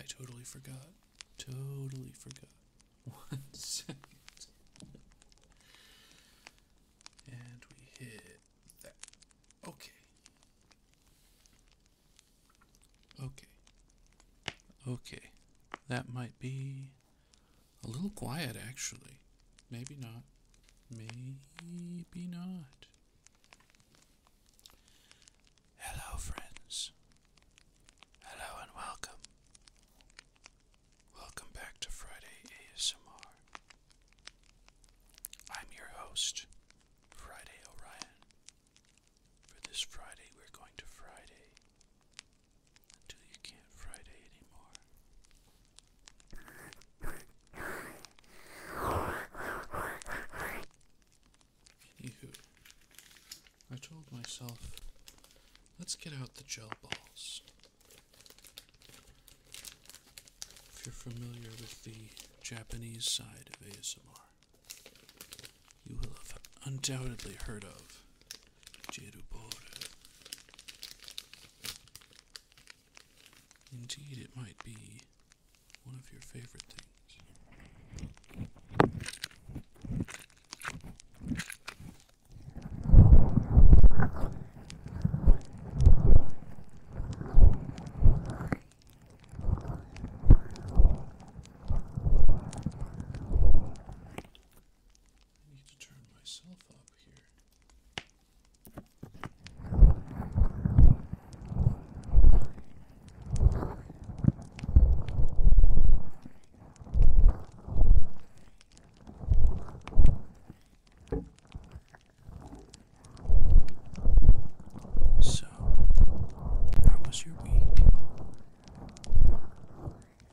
I totally forgot. Totally forgot. One second. And we hit that. Okay. Okay. Okay. That might be a little quiet actually. Maybe not. Maybe not. Hello, friends. Hello and welcome. Welcome back to Friday ASMR. I'm your host, Friday Orion. For this Friday, we're going to Friday until you can't Friday anymore. Phew. I told myself, let's get out the gel balls. If you're familiar with the Japanese side of ASMR, you will have undoubtedly heard of Jerubora. Indeed, it might be one of your favorite things. need to turn myself up here. So, how was your week?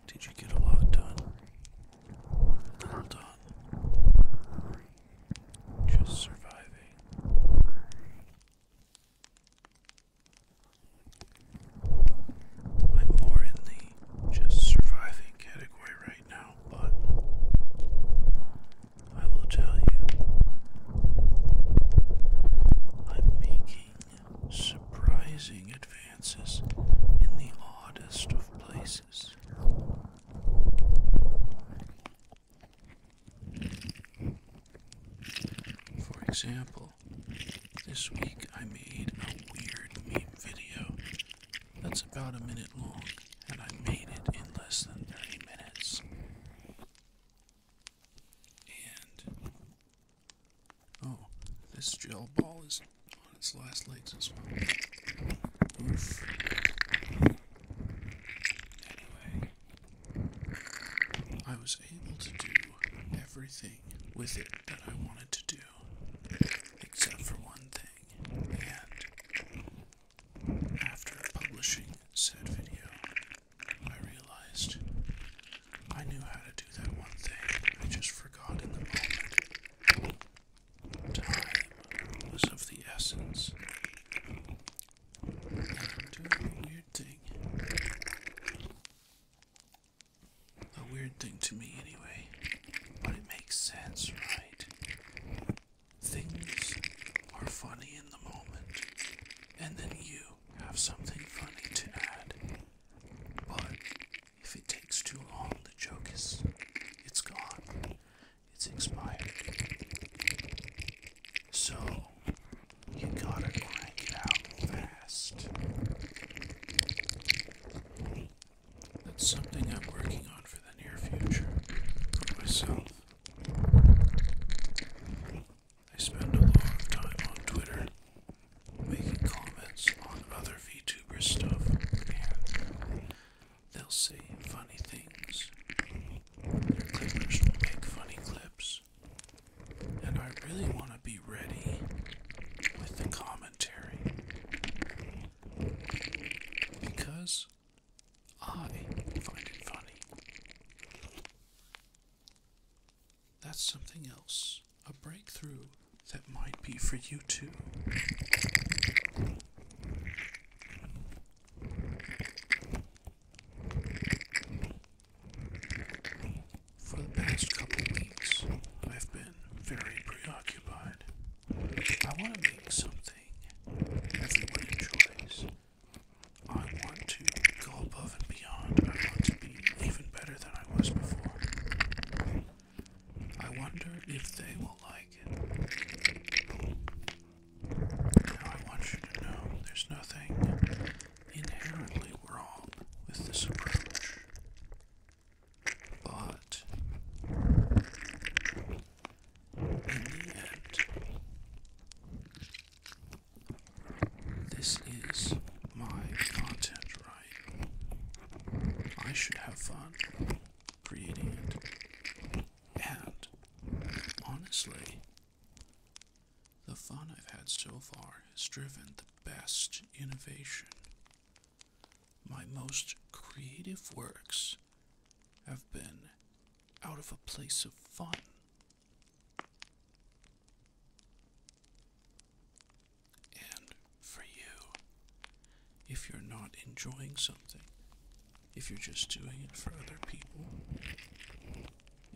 Did you get a lot done? just surviving. I'm more in the just surviving category right now, but I will tell you, I'm making surprising advances in the oddest of places. For example, this week I made a weird meme video that's about a minute long, and I made it in less than 30 minutes. And oh, this gel ball is on its last legs as well. Anyway, I was able to do everything with it that I wanted to do, except for one thing, and after publishing said video, I realized I knew how to do that one thing, I just forgot in the moment. Time was of the essence doing a weird A weird thing to me, anyway. But it makes sense, right? Things are funny in the moment, and then you have something funny to add. But if it takes too long, the joke is. it's gone. It's expired. So, you gotta crank it out fast. That's something I'm working on for the near future for myself. I spend a lot of time on Twitter making comments on other VTuber stuff They'll say funny things. Their clippers will make funny clips. And I really want to be ready with the commentary. Because I find it funny. That's something else, a breakthrough that might be for you too. For the past couple weeks, I've been very preoccupied. I want to make something everyone enjoys. I want to go above and beyond. I want to be even better than I was before. I wonder if they will like it. I want you to know there's nothing inherently wrong with this approach, but in the end, this is my content, right? I should have fun creating it. And honestly, the fun I've had so far has driven the best innovation. My most creative works have been out of a place of fun. And for you, if you're not enjoying something, if you're just doing it for other people,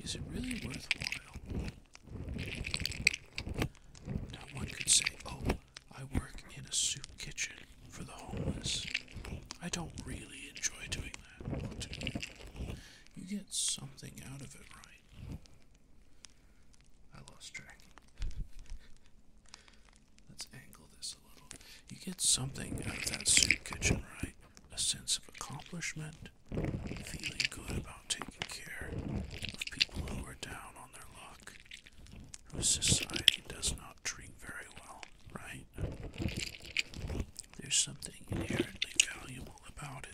is it really worthwhile? Now, one could say, oh, I work in a soup kitchen for the homeless. I don't really enjoy doing that. You get something out of it, right? I lost track. Let's angle this a little. You get something out of that soup kitchen, right? A sense of accomplishment, feeling good about taking care of people who are down on their luck, whose society does not treat very well, right? There's something inherently valuable about it.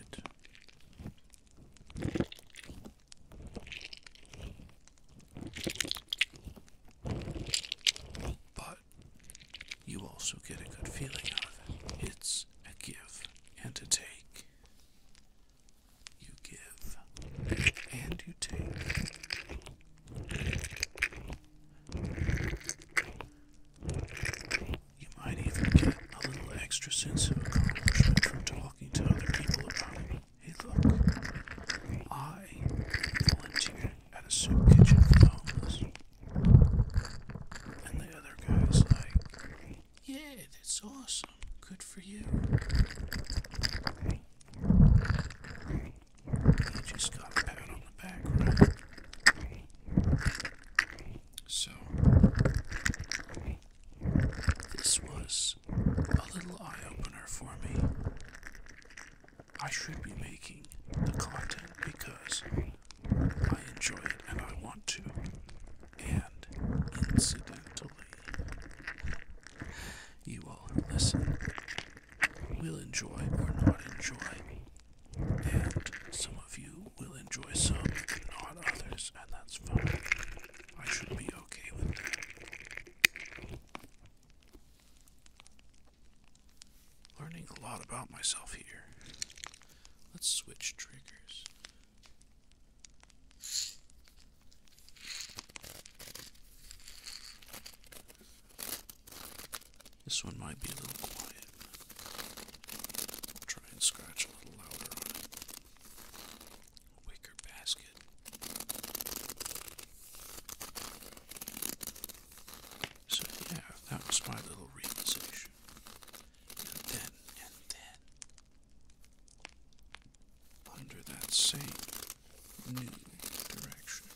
But you also get a good feeling out of it. It's a give and a take. You give and you take. You might even get a little extra sense of accomplishment from talking to other people about it. Hey, look, I volunteered at a soup kitchen for homeless. And the other guy's like, Yeah, that's awesome. Good for you. He just got pat on the back, So, this was a little eye opener for me. I should be making the content because I enjoy it and I want to. And incidentally, you all listen will enjoy or not enjoy. And some of you will enjoy some, not others, and that's fine. I should be okay with that. Learning a lot about myself here. Let's switch triggers. This one might be a little quiet. try and scratch a little louder on basket. So yeah, that was my little realization. And then, and then, under that same new direction,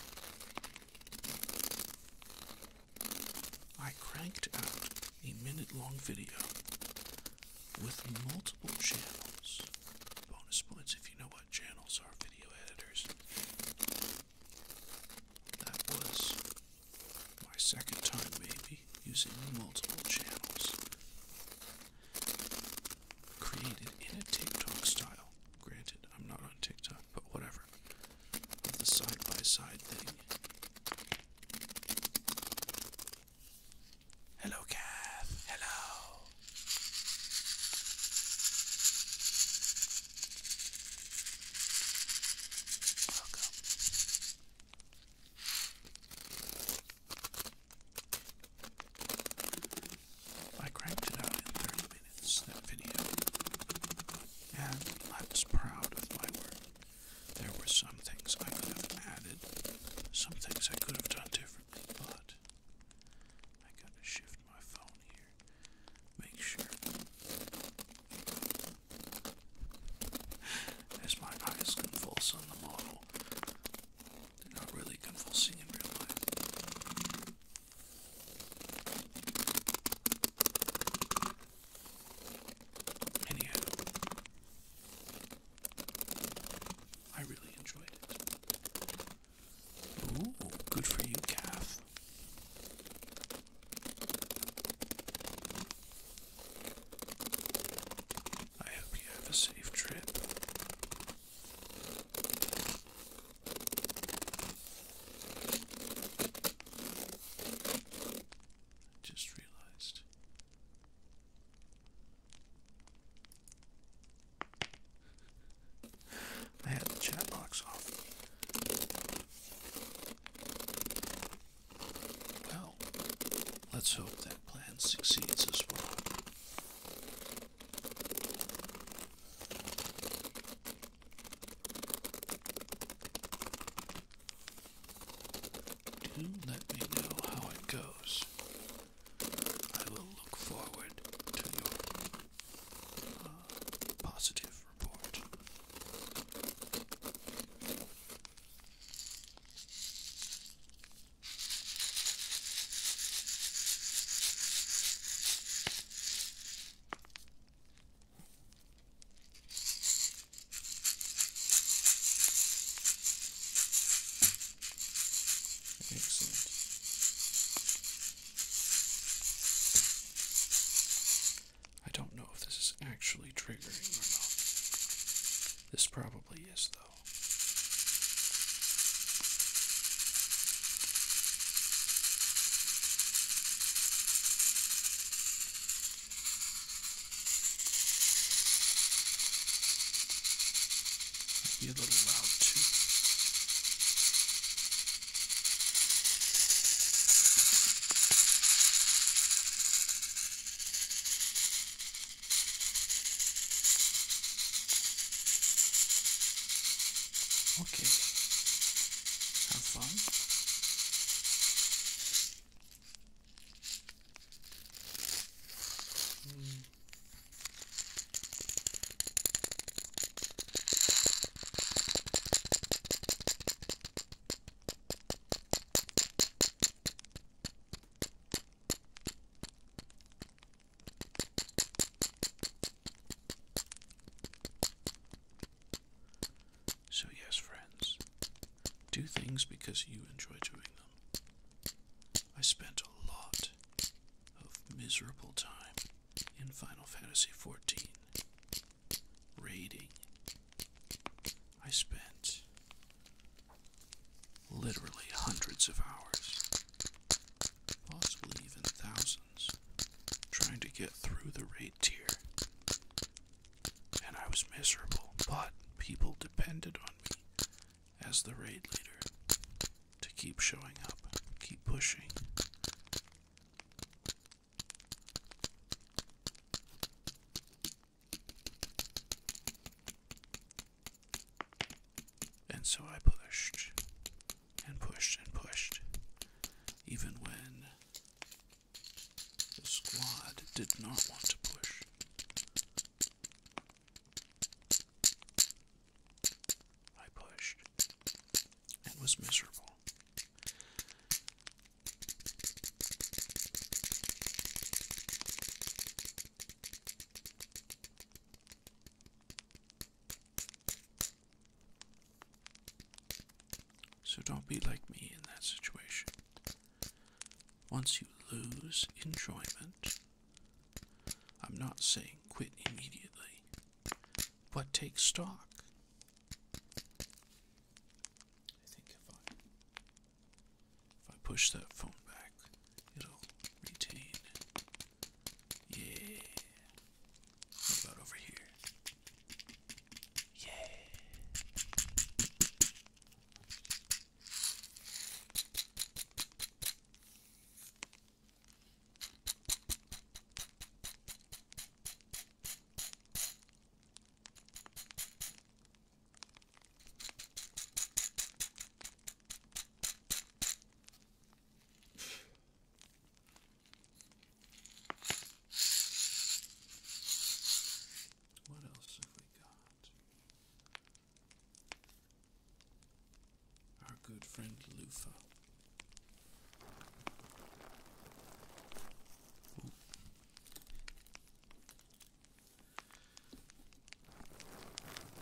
I cranked out a minute-long video with multiple channels. Bonus points if you know what channels are video editors. That was my second time, maybe, using multiple channels. Created in a TikTok style. Granted, I'm not on TikTok, but whatever. the side by side thing. Hello, Kath. Hello. I cranked it out in 30 minutes, that video, and I was proud of my work. There were some things I could have added, some things I could have done differently, but I gotta shift my phone here. Make sure. As my eyes convulse on the model, they're not really convulsing in real life. Anyhow, I really enjoyed it good for you, calf. I hope you have a safe trip. Just realized I had the chat box off. Well, let's hope that plan succeeds as well. Do let me know how it goes. I will look forward to your uh, positive report. Excellent. I don't know if this is actually triggering or not. This probably is, though. Might be a little loud too. Okay. Have fun. Mm. So, yes, friends, do things because you enjoy doing them. I spent a lot of miserable time in Final Fantasy XIV raiding. I spent literally hundreds of hours, possibly even thousands, trying to get through the raid tier. And I was miserable, but people depended on me as the raid leader to keep showing up, keep pushing. And so I pushed and pushed and pushed, even when the squad did not want to push. I pushed and was miserable. So don't be like me in that situation. Once you lose enjoyment, I'm not saying quit immediately, but take stock. I think if I push that phone back, it'll retain. Yeah. What about over here? Yeah. What else have we got? our good friend Lufa.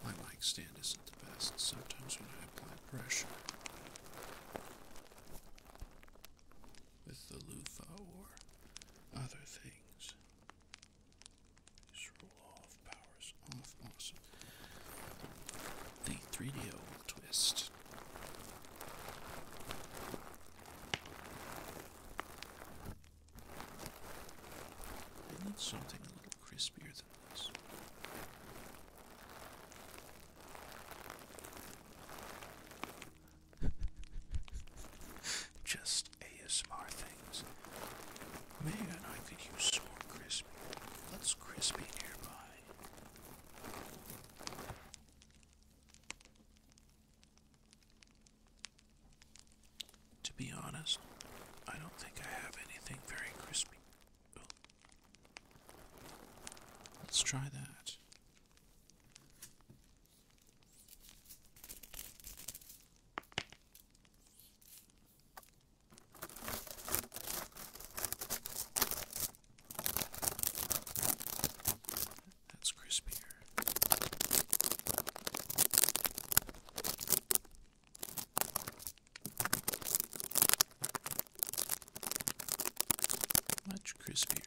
My mic stand isn't the best. Sometimes when I apply pressure with the loofah or other things, the 3 d twist. I need something a little crispier than this. just ASMR things. Man, I could use some crispy. What's crispy nearby? To be honest, I don't think I have anything very crispy. Oh. Let's try that. That's crispier. Much crispier.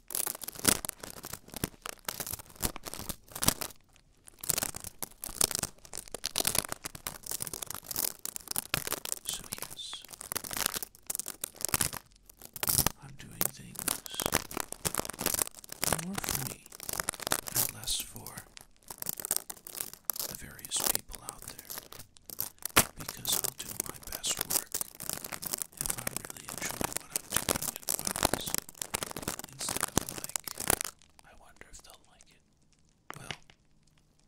So, yes, I'm doing things more for me and less for the various people out there because I'll do my best work if I really enjoy what I'm doing instead of like, I wonder if they'll like it. Well,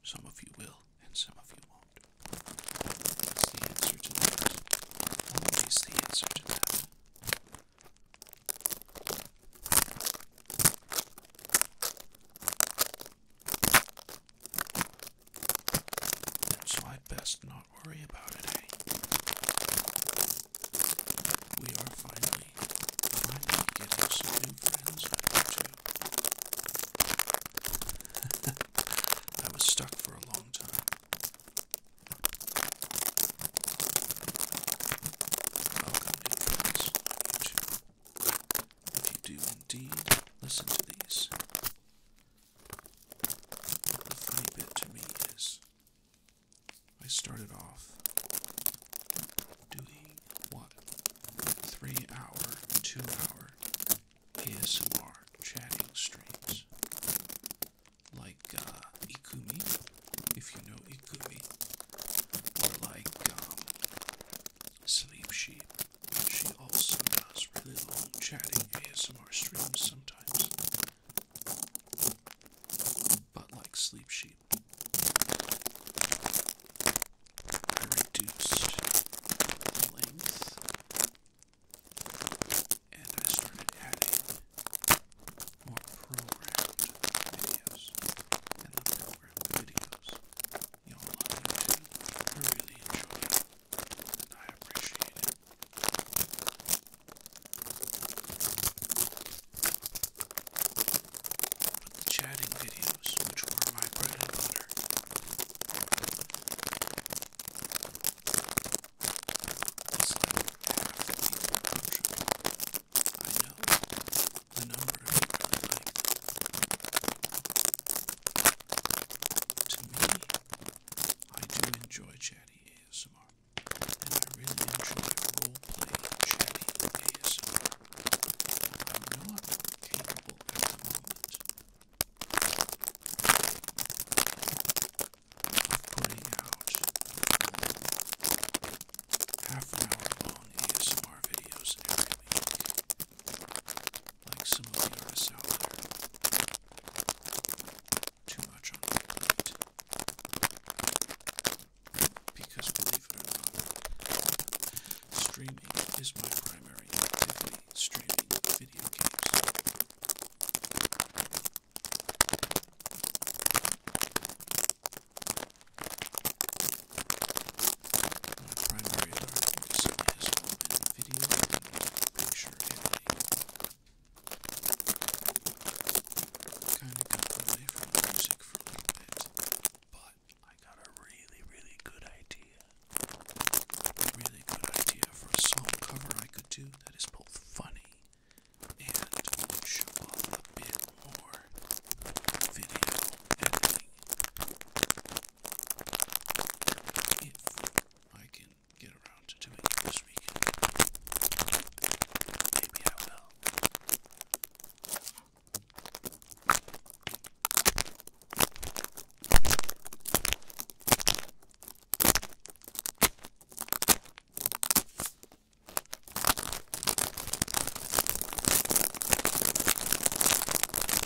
some of you will, and some of you won't. What's the answer to that? What is the answer to that? That's my best knowledge not worry about it, hey? Eh? We are finally, finally getting some new friends on I was stuck for a long time. Welcome, new friends on If you do indeed listen to these, the funny bit to me is I started off doing what? Three hour, two hour ASMR chatting streams. Like uh, Ikumi, if you know Ikumi, or like um, Sleep Sheep. She also does really long chatting ASMR streams sometimes. But like Sleep Sheep, I reduced the length and I started adding more programmed videos and the programmed videos. You know, a them I really enjoy and I appreciate it with chatting videos, which were my bread and butter. It's like half the people in the country. I know the number I really like. To me, I do enjoy chatting ASMR, and I really enjoy role-playing chatting ASMR. I'm not capable at the moment of putting out half-hour-long ASMR videos every week like some of the artists out there. Too much on my plate. Because believe it or streaming is my primary activity, streaming video games. My primary learning is in video picture kind of got away from music for a bit, but I got a really, really good idea. really good idea for a song cover I could do that is both funny and show off a bit more video editing. If I can get around to doing it this weekend. Maybe I will.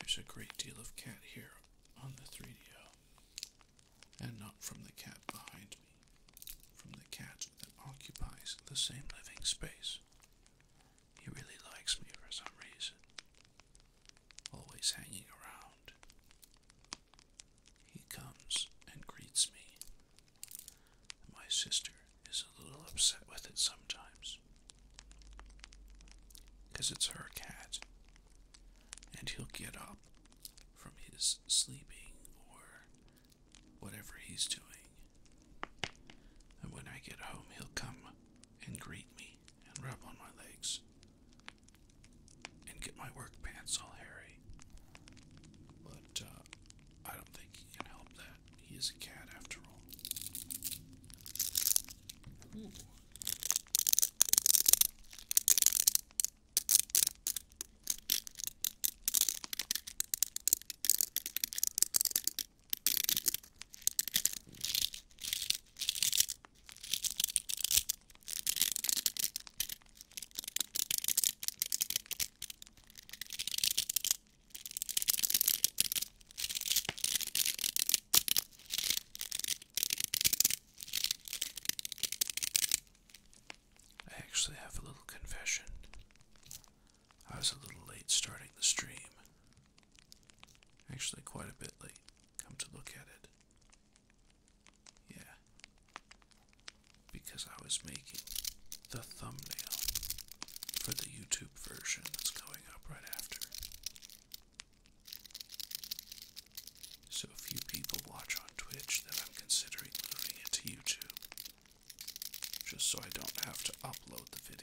There's a great deal of cat here on the 3 d and not from the cat behind me, from the cat that occupies the same living space. He really likes me for some reason, always hanging around. He comes and greets me my sister is a little upset with it sometimes. Because it's her cat. And he'll get up from his sleeping or whatever he's doing. And when I get home, he'll come and greet me and rub on my legs and get my work pants all hairy. But uh, I don't think he can help that. He is a cat after all. I actually have a little confession. I was a little late starting the stream. Actually, quite a bit late, come to look at it. Yeah. Because I was making the thumbnail for the YouTube version that's going up right after. So, a few people watch on Twitch, then I'm considering moving it to YouTube. Just so I don't have to upload the video.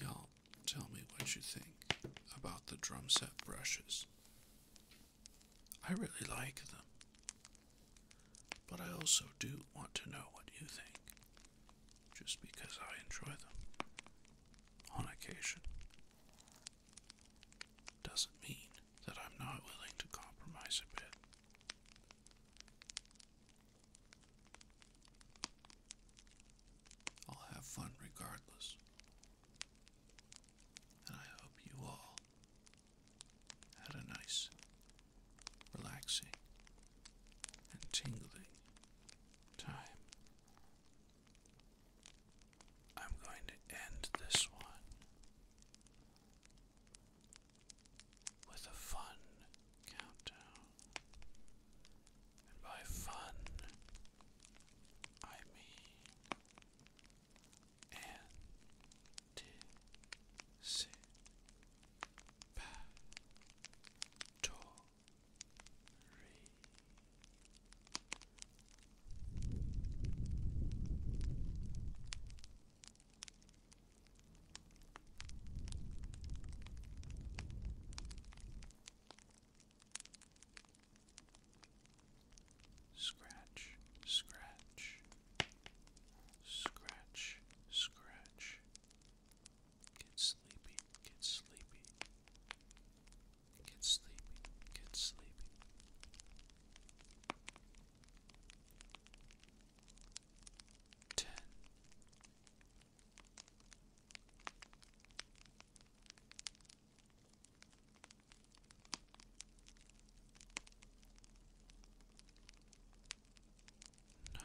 Y'all tell me what you think about the drum set brushes. I really like them, but I also do want to know what you think, just because I enjoy them on occasion. Doesn't mean that I'm not willing to compromise a bit. I'll have fun regardless. And I hope you all had a nice, relaxing, and tingling time. I'm going to end this one with a fun countdown. And by fun, I mean anticipatory. Scratch, scratch, scratch, scratch. Get sleepy, get sleepy. Get sleepy, get sleepy. Ten. Nine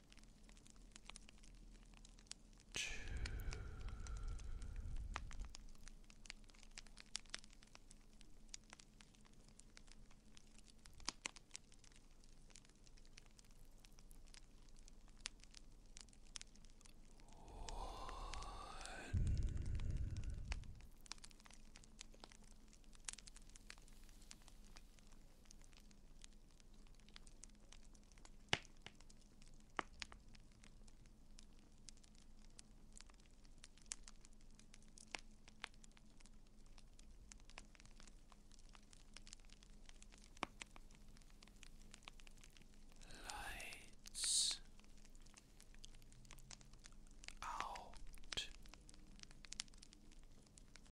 two, one. Two Lights out.